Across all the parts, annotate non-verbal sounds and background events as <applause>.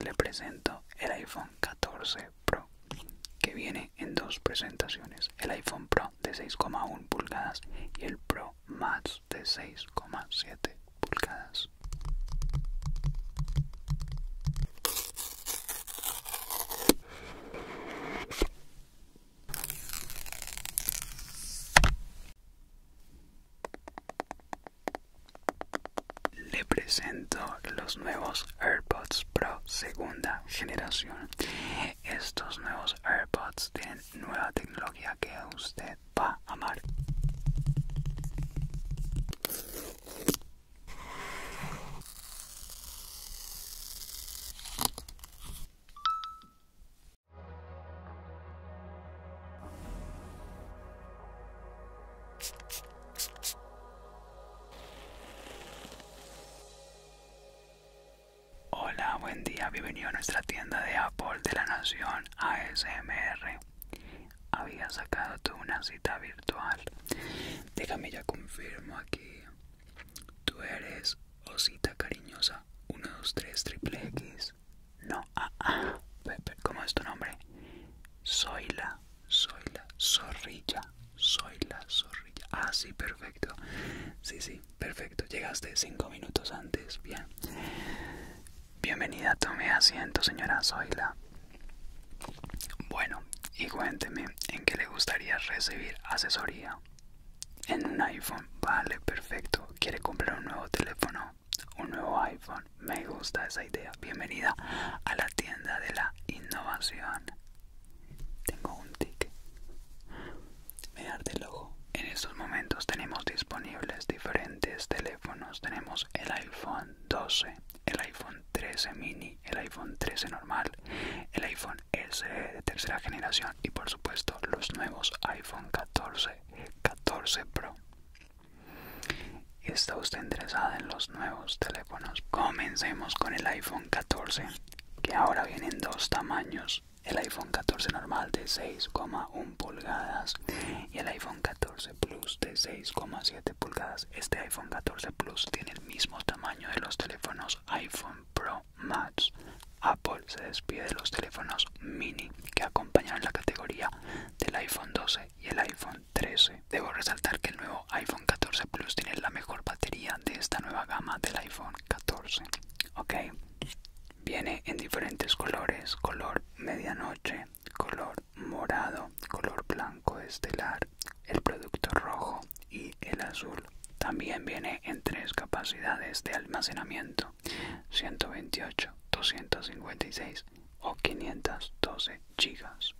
Le presento el iPhone 14 Pro, que viene en dos presentaciones, el iPhone Pro de 6,1 pulgadas y el Pro Max de 6,7 pulgadas. Le presento los nuevos AirPods Pro segunda generación. Estos nuevos AirPods tienen nueva tecnología que usted va a amar. Hola, buen día, bienvenido a nuestra tienda de Apple de la Nación ASMR. Había sacado tú una cita virtual. Déjame ya confirmo aquí. Tú eres, osita cariñosa, 123 triple X. No, ah, ah, ¿cómo es tu nombre? Soy la, soy la zorrilla, soy la zorrilla. Ah, sí, perfecto. Sí, sí, perfecto. Llegaste cinco minutos antes, bien. Bienvenida, tome asiento, señora Zoila. Bueno, y cuénteme en qué le gustaría recibir asesoría. En un iPhone, vale, perfecto. ¿Quiere comprar un nuevo teléfono? Un nuevo iPhone. Me gusta esa idea. Bienvenida a la tienda de la innovación. Tengo un tic. Me el ojo. En estos momentos tenemos disponibles diferentes teléfonos. Tenemos el iPhone 12, el iPhone 13 mini, el iPhone 13 normal, el iPhone CD eh, de tercera generación y por supuesto los nuevos iPhone 14, 14 Pro. ¿Está usted interesada en los nuevos teléfonos? Comencemos con el iPhone 14, que ahora viene en dos tamaños. El iPhone 14 normal de 6,1 pulgadas y el iPhone 14 Plus de 6,7 pulgadas. Este iPhone 14 Plus tiene el mismo tamaño de los teléfonos iPhone Pro Max. Apple se despide de los teléfonos mini que acompañan la categoría del iPhone 12 y el iPhone 13. Debo resaltar que el nuevo iPhone 14 Plus tiene la mejor batería de esta nueva gama del iPhone 14. viene en diferentes colores: color medianoche, color morado, color blanco estelar, el producto rojo y el azul. También viene en tres capacidades de almacenamiento, 128, 256 o 512 gigas.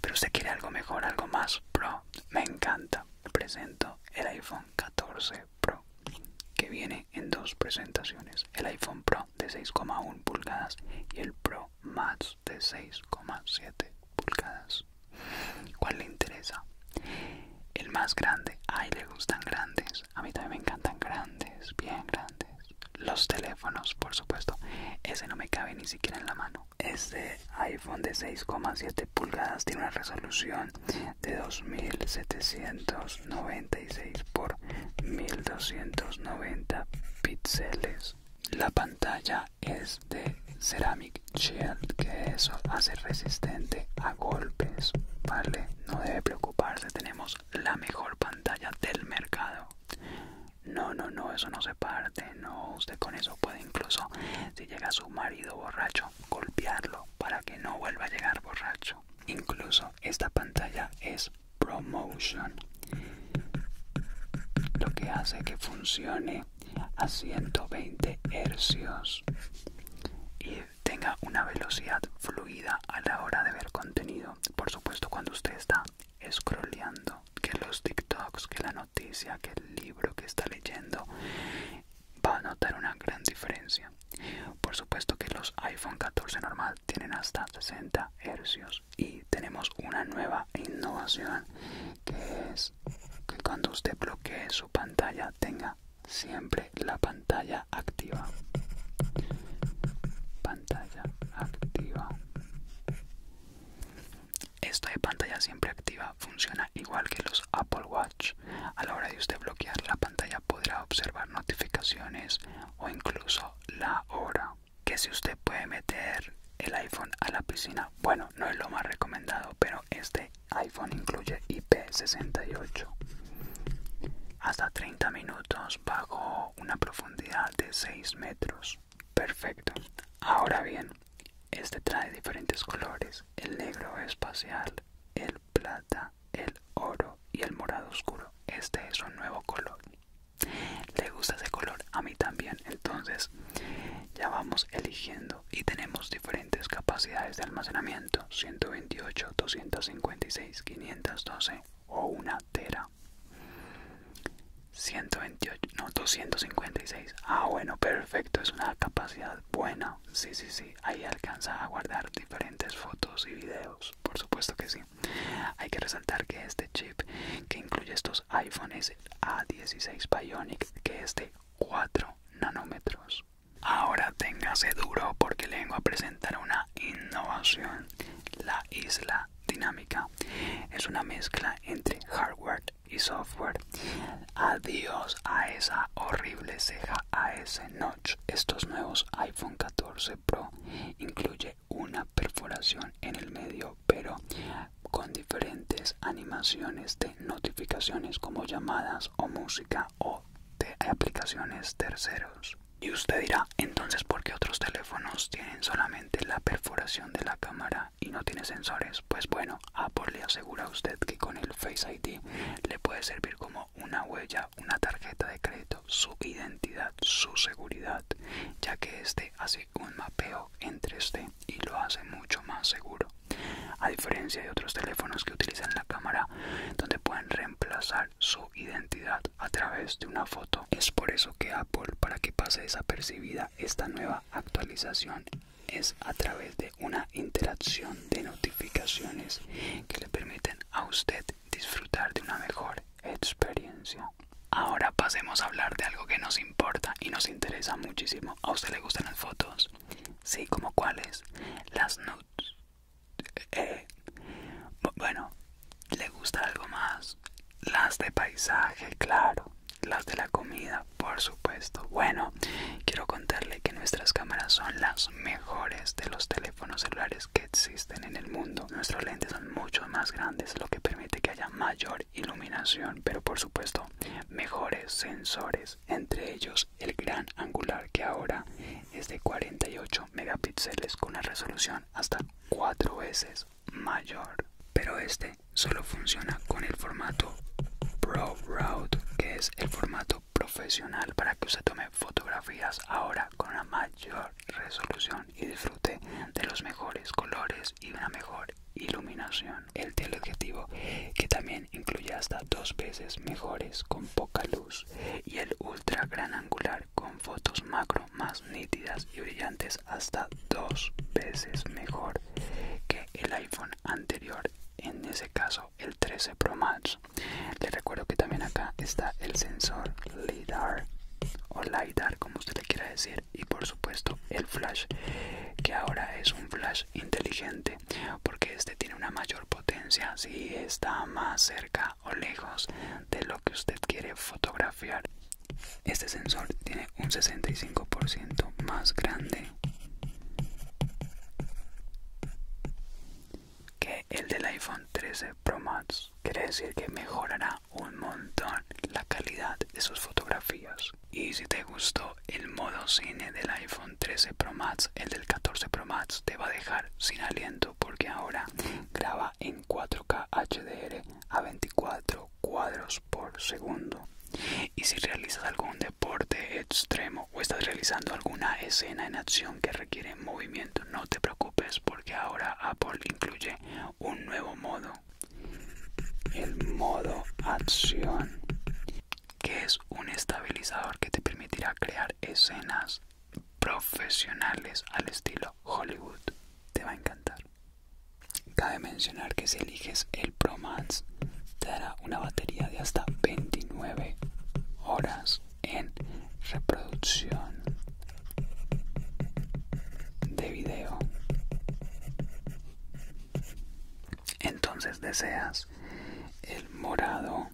Pero usted quiere algo mejor, algo más pro. Me encanta. Presento el iPhone 14 Pro, que viene en dos presentaciones. El iPhone Pro de 6,1 pulgadas y el Pro más de 6,7 pulgadas. ¿Cuál le interesa? El más grande. Ay, le gustan grandes. A mí también me encantan grandes, bien grandes. Los teléfonos, por supuesto. Ese no me cabe ni siquiera en la mano. Este iPhone de 6,7 pulgadas tiene una resolución de 2796 por 1290 píxeles. La pantalla es de Ceramic Shield, que eso hace resistente a golpes, ¿vale? No debe preocuparse, tenemos la mejor pantalla del mercado. No, no, no, eso no se parte, no, usted con eso puede incluso, si llega su marido borracho, golpearlo para que no vuelva a llegar borracho. Incluso esta pantalla es promotion lo que hace que funcione a 120 hercios y tenga una velocidad fluida a la hora de ver contenido por supuesto cuando usted está scrolleando que los tiktoks que la noticia que el libro que está leyendo va a notar una gran diferencia por supuesto que los iphone 14 normal tienen hasta 60 hercios y tenemos una nueva innovación que es que cuando usted bloquee su pantalla tenga siempre la pantalla activa pantalla activa esto de pantalla siempre activa funciona igual que los Apple Watch a la hora de usted bloquear la pantalla podrá observar notificaciones o incluso la hora que si usted puede meter el iPhone a la piscina, bueno, no es lo más recomendado, pero este iPhone incluye IP68. Hasta 30 minutos bajo una profundidad de 6 metros. Perfecto. Ahora bien, este trae diferentes colores. El negro espacial, el plata, el oro y el morado oscuro. Este es un nuevo color le gusta ese color a mí también entonces ya vamos eligiendo y tenemos diferentes capacidades de almacenamiento 128 256 512 o una tera 128 no 256 ah bueno perfecto es una capacidad buena sí sí sí ahí alcanza a guardar diferentes fotos y videos por supuesto que sí hay que resaltar que este chip que incluye estos iPhone es el A16 Bionic que es de 4 nanómetros. Ahora téngase duro porque le vengo a presentar una innovación, la isla dinámica. Es una mezcla entre hardware y software. Adiós a esa horrible ceja, a ese notch. Estos nuevos iPhone 14 Pro incluyen una perforación en el medio pero con diferentes animaciones de notificaciones como llamadas o música o de aplicaciones terceros y usted dirá entonces por qué otros teléfonos tienen solamente la perforación de la cámara y no tiene sensores pues bueno Apple le asegura a usted que con el Face ID le puede servir como una huella una tarjeta de crédito su identidad su seguridad ya que este hace un mapeo en 3D y lo hace mucho más seguro a diferencia de otros teléfonos que utilizan la cámara donde pueden reemplazar su identidad a través de una foto es por eso que Apple para que pase desapercibida esta nueva actualización es a través de una interacción de notificaciones que le permiten a usted disfrutar de una mejor experiencia. Ahora pasemos a hablar de algo que nos importa y nos interesa muchísimo. ¿A usted le gustan las fotos? Sí, ¿como cuáles? Las nudes. Eh, eh, bueno, ¿le gusta algo más? Las de paisaje, claro. Las de la comida, por supuesto. Bueno, quiero contarle que nuestras cámaras son las mejores de los teléfonos celulares que existen en el mundo. Nuestros lentes son mucho más grandes, lo que permite que haya mayor iluminación, pero por supuesto mejores sensores, entre ellos el gran angular que ahora es de 48 megapíxeles con una resolución hasta cuatro veces mayor. Pero este solo funciona con el formato Pro Route, que es el formato profesional para que usted tome fotografías ahora con una mayor resolución y disfrute de los mejores colores y una mejor iluminación. El teleobjetivo, que también incluye hasta dos veces mejores con poca luz, y el ultra gran angular con fotos macro más nítidas y brillantes hasta dos veces mejor que el iPhone anterior en ese caso el 13 Pro Max. Les recuerdo que también acá está el sensor LIDAR o LIDAR como usted le quiera decir y por supuesto el flash que ahora es un flash inteligente porque este tiene una mayor potencia si está más cerca o lejos de lo que usted quiere fotografiar este sensor tiene un 65% más grande que el del iPhone 13 Pro Max quiere decir que mejorará un montón la calidad de sus fotografías. Y si te gustó el modo cine del iPhone 13 Pro Max, el del 14 Pro Max te va a dejar sin aliento porque ahora graba en 4K HDR a 24 cuadros por segundo. Y si realizas algún deporte extremo o estás realizando alguna escena en acción que requiere movimiento, no te preocupes porque ahora Apple incluye un nuevo modo el modo acción que es un estabilizador que te permitirá crear escenas profesionales al estilo Hollywood te va a encantar cabe mencionar que si eliges el Pro Max te dará una batería de hasta 29 horas en reproducción de video entonces deseas el morado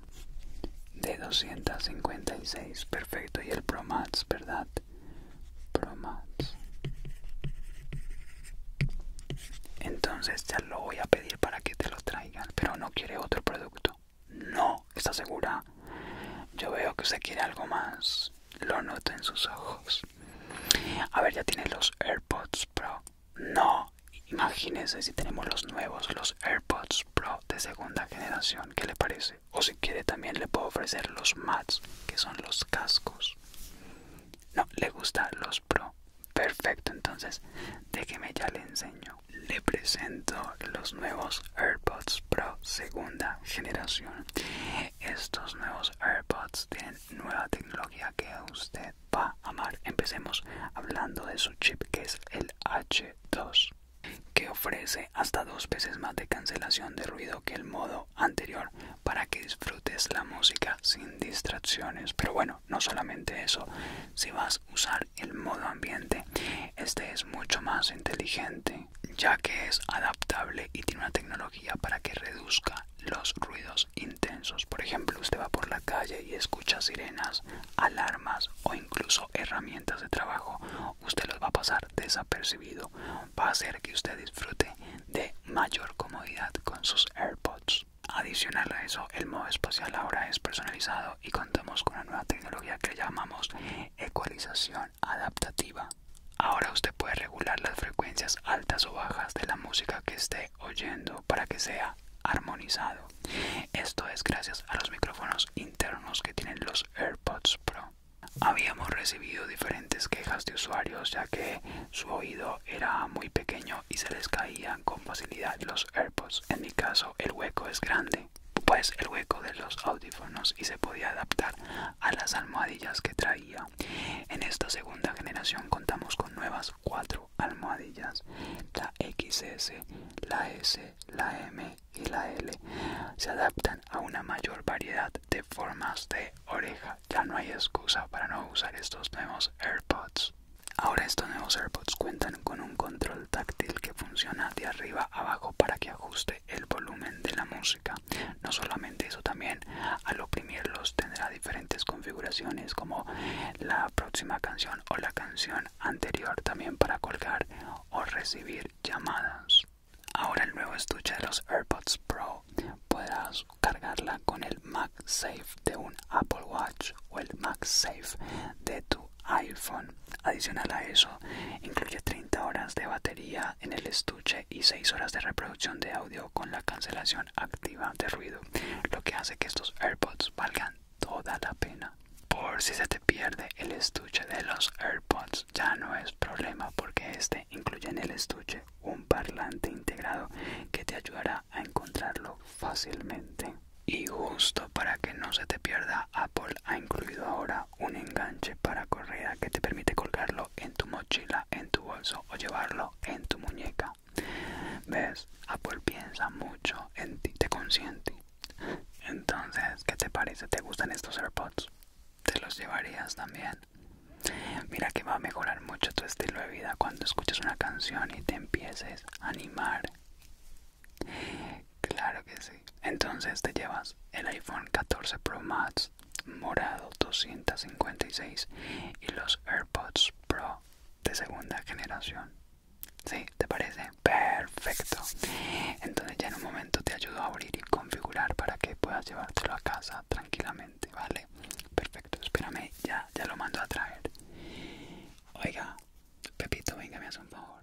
de 256 perfecto y el pro verdad pro entonces ya lo voy a pedir para que te lo traigan pero no quiere otro producto no, ¿está segura? Yo veo que usted quiere algo más. Lo noto en sus ojos. A ver, ya tiene los AirPods Pro. No, imagínese si tenemos los nuevos, los AirPods Pro de segunda generación. ¿Qué le parece? O si quiere también le puedo ofrecer los Mats, que son los cascos. No, le gustan los Pro. Perfecto, entonces déjeme ya le enseño. Le presento los nuevos AirPods Pro segunda generación. Estos nuevos AirPods tienen nueva tecnología que usted va a amar. Empecemos hablando de su chip que es el H2 que ofrece hasta dos veces más de cancelación de ruido que el modo anterior para que disfrutes la música sin distracciones. Pero bueno, no solamente eso, si vas a usar el modo ambiente. Este es mucho más inteligente ya que es adaptable y tiene una tecnología para que reduzca los ruidos intensos. Por ejemplo, usted va por la calle y escucha sirenas, alarmas o incluso herramientas de trabajo. Usted los va a pasar desapercibido. Va a hacer que usted disfrute de mayor comodidad con sus AirPods. Adicional a eso, el modo espacial ahora es personalizado y contamos con una nueva tecnología que llamamos ecualización adaptativa. Ahora usted puede regular las frecuencias altas o bajas de la música que esté oyendo para que sea armonizado. Esto es gracias a los micrófonos internos que tienen los AirPods Pro. Habíamos recibido diferentes quejas de usuarios ya que su oído era muy pequeño y se les caían con facilidad los AirPods. En mi caso el hueco es grande pues el hueco de los audífonos y se podía adaptar a las almohadillas que traía. En esta segunda generación contamos con nuevas cuatro almohadillas, la XS, la S, la M y la L. Se adaptan a una mayor variedad de formas de oreja. Ya no hay excusa para no usar estos nuevos AirPods. Ahora estos nuevos AirPods cuentan con un control táctil que funciona de arriba abajo para que ajuste el volumen de la música. No solamente eso, también al oprimirlos tendrá diferentes configuraciones como la próxima canción o la canción anterior también para colgar o recibir llamadas. Ahora el nuevo estuche de los AirPods Pro puedas cargarla con el MagSafe de un Apple Watch o el MagSafe de tu iPhone. Adicional a eso, incluye 30 horas de batería en el estuche y 6 horas de reproducción de audio con la cancelación activa de ruido, lo que hace que estos AirPods valgan toda la pena. Por si se te pierde el estuche de los AirPods, ya no es problema porque este incluye en el estuche un parlante integrado que te ayudará a encontrarlo fácilmente. Y justo para que no se te pierda, Apple ha incluido ahora un enganche para corrida que te permite colgarlo en tu mochila, en tu bolso o llevarlo en tu muñeca. ¿Ves? Apple piensa mucho en ti, te consiente. Entonces, ¿qué te parece? ¿Te gustan estos AirPods? ¿Te los llevarías también? Mira que va a mejorar mucho tu estilo de vida cuando escuches una canción y te empieces a animar claro que sí. Entonces te llevas el iPhone 14 Pro Max morado 256 y los AirPods Pro de segunda generación. ¿Sí? ¿Te parece? Perfecto. Entonces ya en un momento te ayudo a abrir y configurar para que puedas llevártelo a casa tranquilamente, ¿vale? Perfecto, espérame, ya, ya lo mando a traer. Oiga, Pepito, venga, me hace un favor.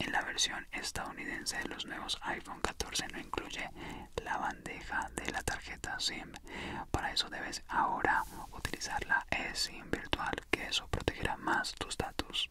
En la versión estadounidense de los nuevos iPhone 14 no incluye la bandeja de la tarjeta SIM. Para eso debes ahora utilizar la eSIM virtual, que eso protegerá más tus datos.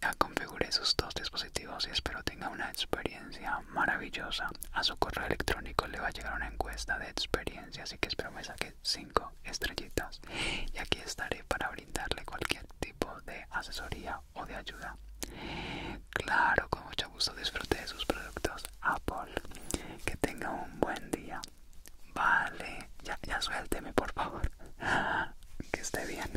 Ya configuré sus dos dispositivos y espero tenga una experiencia maravillosa. A su correo electrónico le va a llegar una encuesta de experiencia, así que espero me saque 5 estrellitas. Y aquí estaré para brindarle cualquier tipo de asesoría o de ayuda. Claro, con mucho gusto disfrute de sus productos Apple. Que tenga un buen día. Vale, ya, suélteme, por favor. <gasps> Que esté bien.